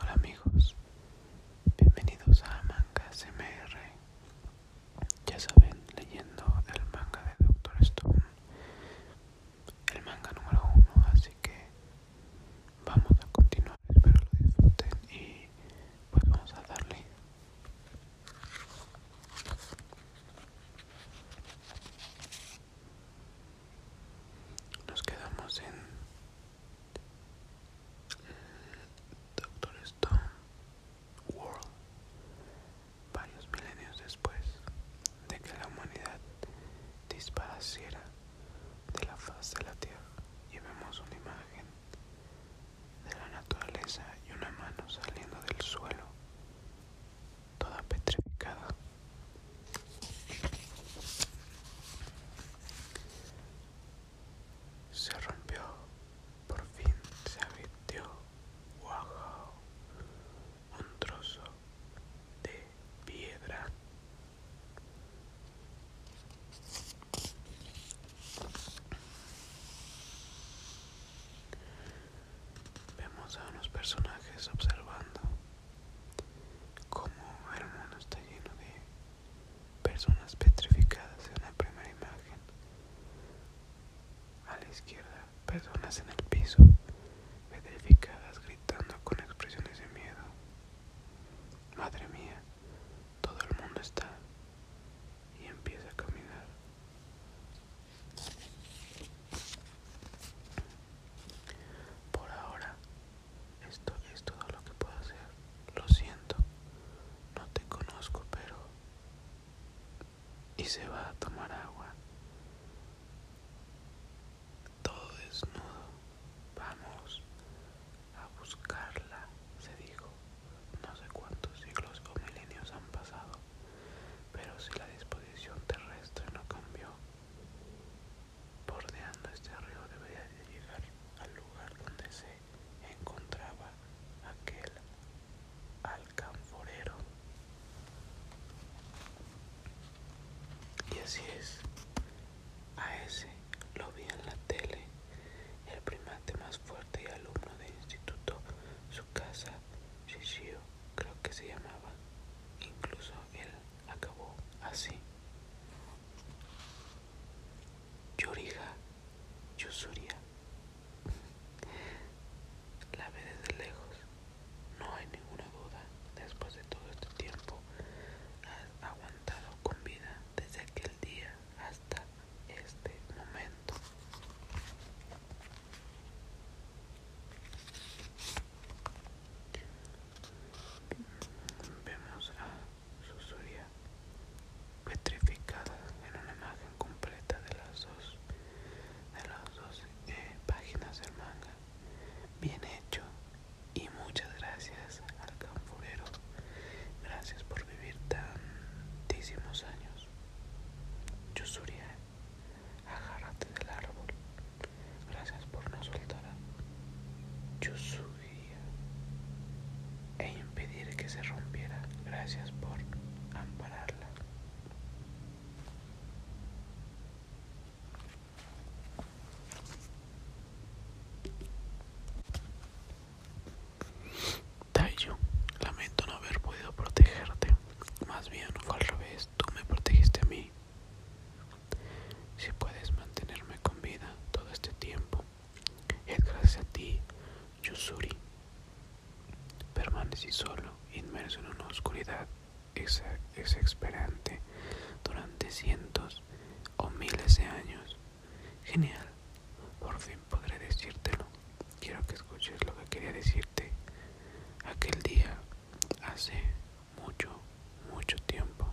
Hola amigos, bienvenidos a Manga CMR. Ya saben, leyendo el manga de Doctor Stone, el manga número uno, así que vamos a continuar, espero lo disfruten y pues vamos a darle. Nos quedamos en Doctor Stone World, varios milenios después de que la humanidad Disparaciera de la faz de la Tierra, y vemos una imagen de la naturaleza y una mano saliendo del suelo, toda petrificada. Se rompió, por fin se avirtió guajao, un trozo de piedra. Vemos a unos personajes observando como el mundo está lleno de personas petrificadas en la primera imagen. A la izquierda, personas en el piso, petrificadas, gritando con expresiones de miedo. Madre mía, todo el mundo está y empieza a caminar. Por ahora esto es todo lo que puedo hacer. Lo siento. No te conozco, pero... Y se va a tomar agua. Todo desnudo. Vamos a buscarla, se dijo. No sé cuántos siglos o milenios han pasado, pero si la disposición terrestre no cambió, Bordeando este río debería llegar al lugar donde se encontraba aquel alcanforero. Y así es, a ese lo vi en la tele, el primate más fuerte y alumno del instituto, su casa, Shishio, creo que se llamaba. Incluso él acabó así. Yorija, Yusuria. La ve desde lejos. No hay ninguna duda. Después de todo este tiempo, has aguantado con vida desde aquel día hasta este momento. Vemos a Susuria petrificada en una imagen completa de las dos, de las dos eh, páginas del manga. Bien hecho y muchas gracias al campurero Gracias por vivir tantísimos años. Yusuria Agárrate del árbol. Gracias por no soltar Yo subiría e impedir que se rompiera. Gracias por ampararla. Tayo, lamento no haber podido protegerte. Más bien fue al revés, tú me protegiste a mí. Si puedes mantenerme con vida todo este tiempo, es gracias a ti, Yusuri. Permanecí solo, inmerso en una oscuridad exasperante durante cientos o miles de años. Genial, por fin podré decírtelo. Quiero que escuches lo que quería decirte. Aquel día, hace mucho, mucho tiempo.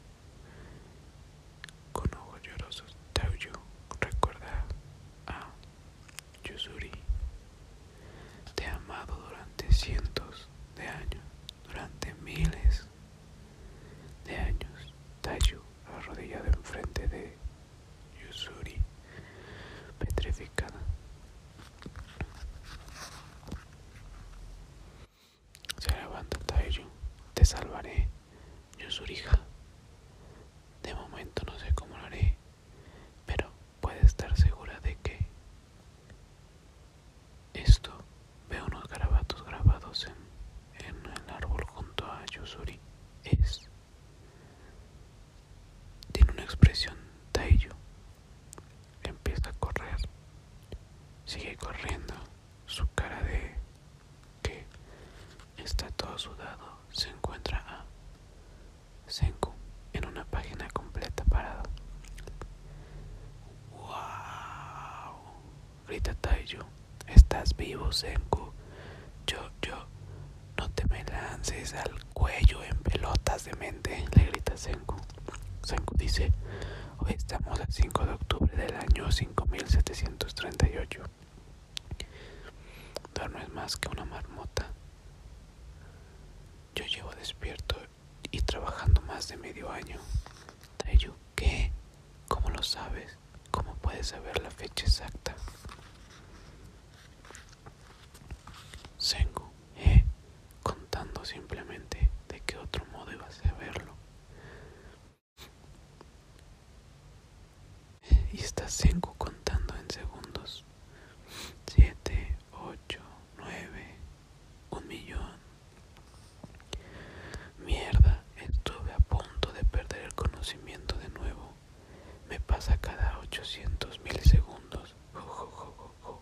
Con ojos llorosos, Tauyu recuerda a Yusuri. Te ha amado durante cientos de años, durante miles de años. Tayu arrodillado enfrente de Yusuri, petrificada, se levanta te salvaré, Yusurija. De momento no sé cómo lo haré, pero puedes estar segura de que esto veo unos garabatos grabados en, en el árbol junto a Yusuri. Es tiene una expresión Taiyo Empieza a correr. Sigue corriendo. Su cara de que está todo sudado se encuentra a Senku en una página completa parado. ¡Wow! Grita Taiju, Estás vivo, Senku. Yo, yo, no te me lances al cuello en pelotas de mente, le grita Senku. Senku dice, hoy estamos a 5 de octubre del año 5738. no es más que una marmota. Yo llevo despierto y trabajando más de medio año. Tayu ¿qué? ¿Cómo lo sabes? ¿Cómo puedes saber la fecha exacta? Sengu, eh, contando simplemente de qué otro modo iba a saberlo. verlo. Y está Sengu contando en segundos. 7, 8, 9, 1 millón. Mierda, estuve a punto de perder el conocimiento de nuevo. Me pasa cada 800 milisegundos. Jo,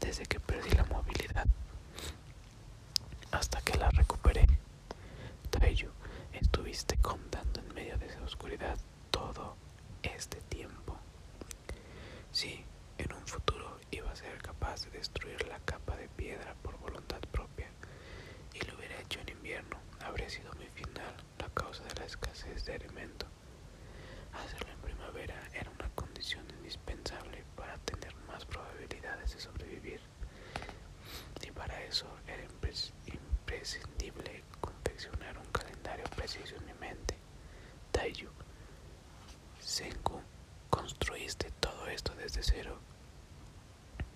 desde que perdí la movilidad hasta que la recuperé. Taiyu, estuviste contando en medio de esa oscuridad todo este tiempo. Si en un futuro iba a ser capaz de destruir la capa de piedra por voluntad propia y lo hubiera hecho en invierno. Habría sido mi final la causa de la escasez de alimento Hacerlo en primavera era una condición indispensable para tener más probabilidades de sobrevivir y para eso era imprescindible confeccionar un calendario preciso en mi mente. Taiyu, Senku, construiste todo esto desde cero.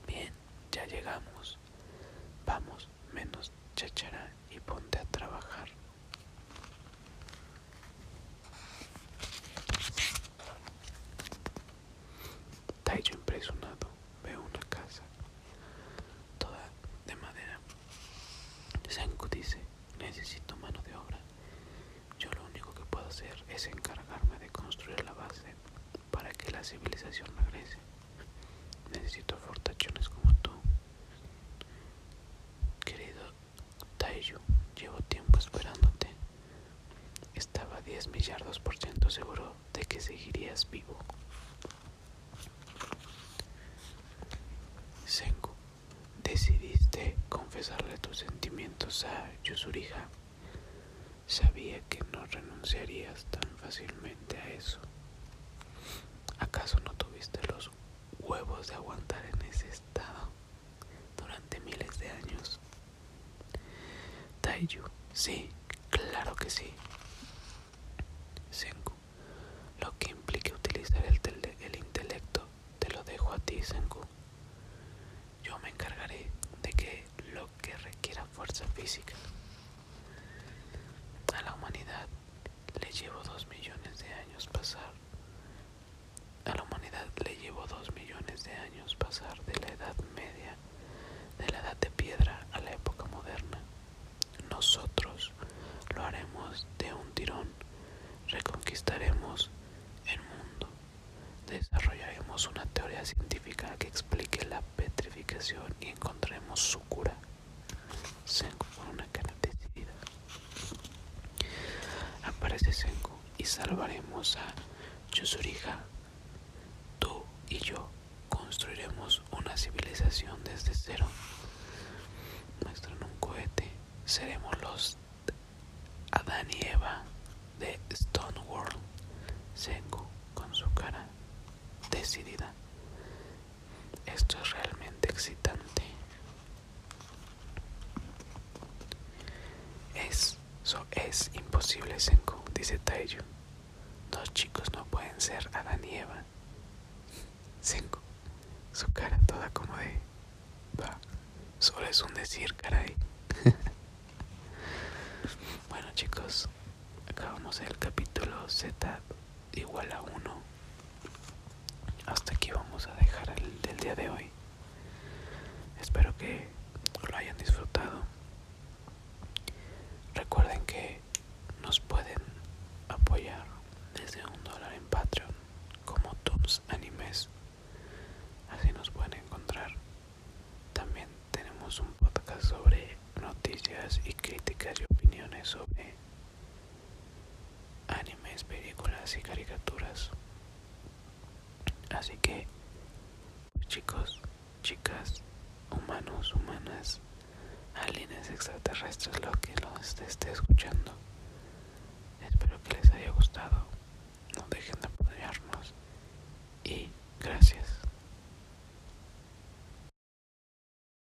Bien, ya llegamos. Vamos, menos chachara y ponte a trabajar. Taiyo impresionado veo una casa toda de madera. Senku dice, necesito mano de obra. Yo lo único que puedo hacer es encargarme de construir la base para que la civilización regrese. Necesito fortachones como tú. Querido Taiyu, llevo tiempo esperándote. Estaba diez millardos por ciento seguro de que seguirías vivo. Senku, decidiste confesarle tus sentimientos a Yuzuriha. Sabía que no renunciarías tan fácilmente a eso. ¿Acaso no tuviste los huevos de aguantar en ese estado durante miles de años. Taiju, sí, claro que sí. Senku, lo que implique utilizar el, intelecto, te lo dejo a ti, Senku. Yo me encargaré de que lo que requiera fuerza física a la humanidad le llevo dos millones de años pasar. A la humanidad le llevo dos millones de años pasar de la Edad Media, de la Edad de Piedra a la época moderna. Nosotros lo haremos de un tirón, reconquistaremos el mundo, desarrollaremos una teoría científica que explique la petrificación y encontraremos su cura. Senku con una cara decidida. Aparece Sengo y salvaremos a Yuzuriha. Tú y yo construiremos una civilización desde cero. Muestran un cohete. Seremos los Adán y Eva de Stone World. con su cara decidida. Esto es realmente excitante. Es, es imposible, Senko, dice Tayo. Dos chicos no pueden ser Adán y Eva. Senko. su cara toda como de... va. solo es un decir, caray. bueno chicos, acabamos el capítulo Z igual a 1 hasta aquí vamos a dejar el del día de hoy espero que lo hayan disfrutado recuerden que nos pueden apoyar desde un dólar en patreon como tops animes así nos pueden encontrar también tenemos un podcast sobre noticias y críticas y opiniones sobre animes, películas y caricaturas. Así que, pues, chicos, chicas, humanos, humanas, aliens extraterrestres, lo que los esté escuchando. Espero que les haya gustado. No dejen de apoyarnos. Y gracias.